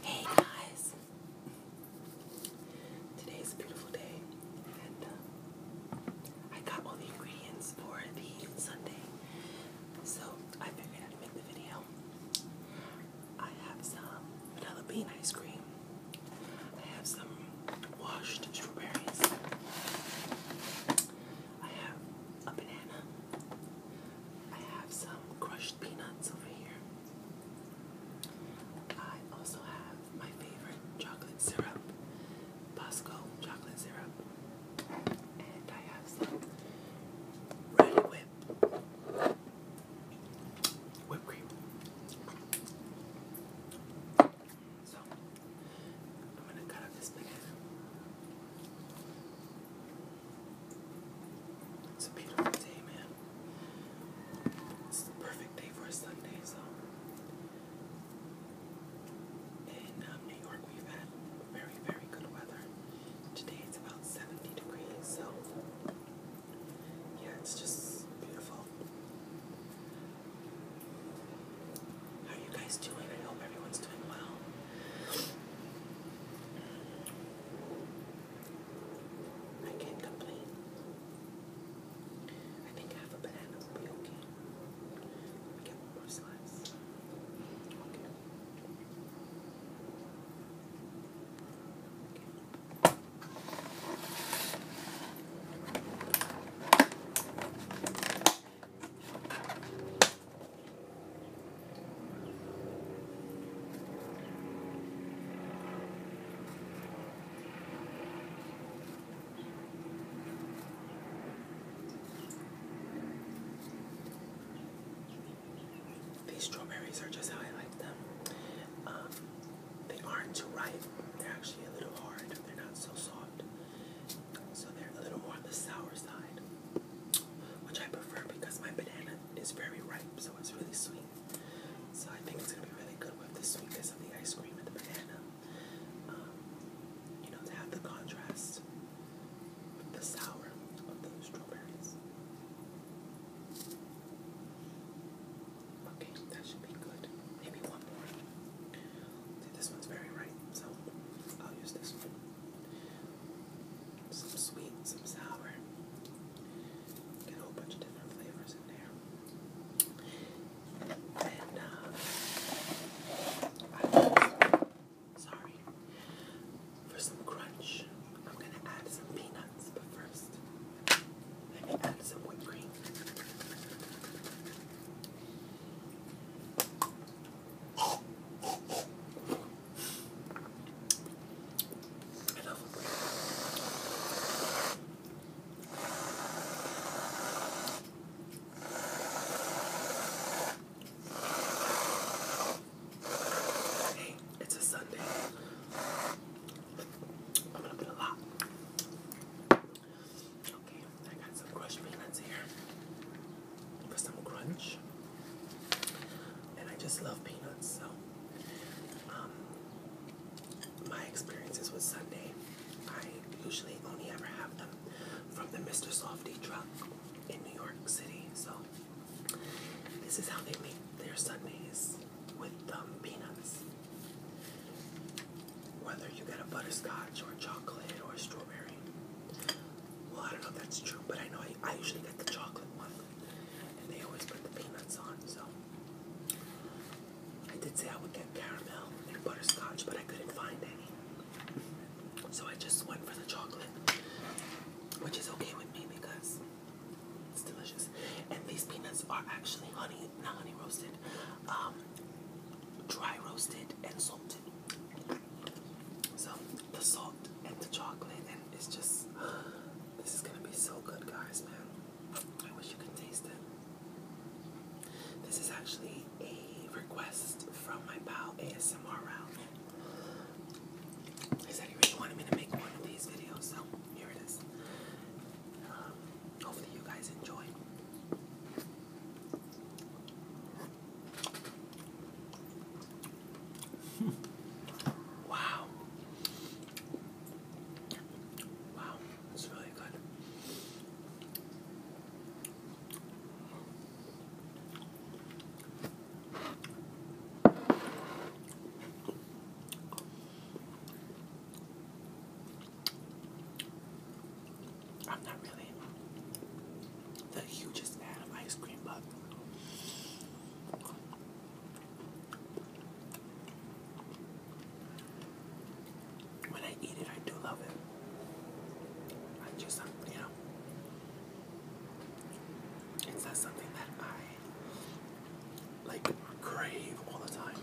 Hey guys! Today's a beautiful day, and um, I got all the ingredients for the Sunday, so I figured I'd make the video. I have some vanilla bean ice cream, I have some washed strawberries, I have a banana, I have some crushed peanuts over here. I also have my favorite chocolate syrup, Bosco chocolate syrup. And I have some Ready Whip whipped cream. So, I'm going to cut up this banana. It's a beautiful day, man. It's a perfect day for a Sunday, so. In um, New York, we've had very, very good weather. Today it's about 70 degrees, so. Yeah, it's just beautiful. How are you guys doing? I hope everyone's doing well. I can't complain. I think half a banana will be okay. Let me more slice. These strawberries are just how I like them. Um, they aren't too ripe. They're actually a little hard. They're not so soft. So they're a little more on the sour side, which I prefer because my banana it's very ripe, so it's really sweet. So I think it's gonna be really good with the sweetness of the ice cream and the banana. Um, you know, to have the contrast with the sour of the strawberries. Okay, that should be good. Maybe one more. See, this one's very ripe, so I'll use this one. Some sweet, some sour. Get a whole bunch of different flavors in there. And, uh, sorry, for some crunch, I'm going to add some peanuts, but first, let me add some whipped cream. Hey, it's a Sunday. I'm gonna put a lot. Okay, I got some crushed peanuts here. some crunch. And I just love peanuts, so um, my experiences with sundae, I usually only ever have them from the Mr. Softy truck in New York City. So this is how they make their Sundays with the um, peanuts. Whether you get a butterscotch or chocolate or strawberry. Well, I don't know if that's true, but I know I I usually get the chocolate one, and they always put the peanuts on. So I did say I would get caramel and butterscotch, but I couldn't find any. So I just went for the chocolate, which is okay with me because it's delicious. And these peanuts are actually honey, not honey roasted, um, dry roasted and salted. So the salt and the chocolate, and it's just this is gonna be so good, guys, man. I wish you could taste it. This is actually a request from my pal ASMR He said he really wanted me to make one of these videos, so here it is. Um, hopefully, you guys enjoy wow. Wow, that's really good. I'm not really the hugest fan of ice cream, but when I eat it, I do love it. I just, uh, you know, it's not something that I like crave all the time.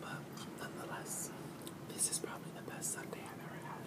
But nonetheless, this is probably the best Sunday I've ever had.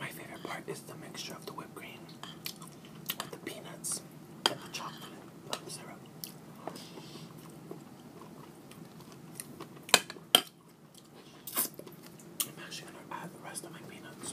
My favorite part is the mixture of the whipped cream with the peanuts and the chocolate syrup. I'm actually going to add the rest of my peanuts.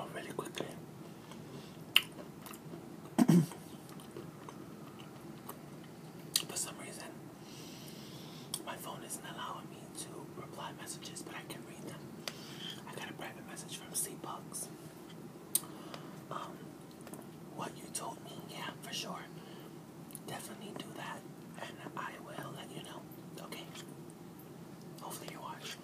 Oh, really quickly. For some reason, my phone isn't allowing me to reply messages, but I can read them. I got a private message from Sea Bugs um, what you told me. Yeah, for sure. Definitely do that, and I will let you know. Okay. Hopefully you watch.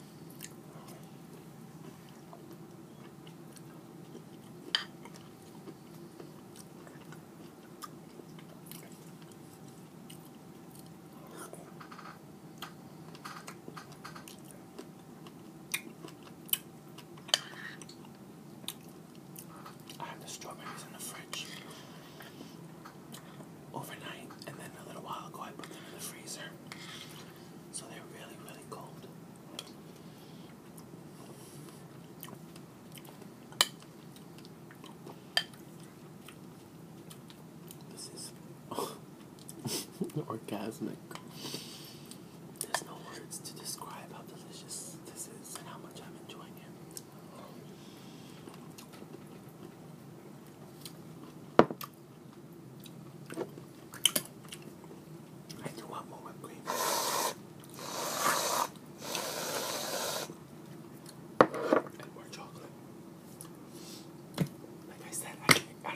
I have the strawberries in the fridge overnight, and then a little while ago I put them in the freezer, so they're really, really cold. This is oh, orgasmic. There's no words to describe how delicious this is and how much I'm enjoying it. I want more whipped cream. more chocolate. Like I said, I,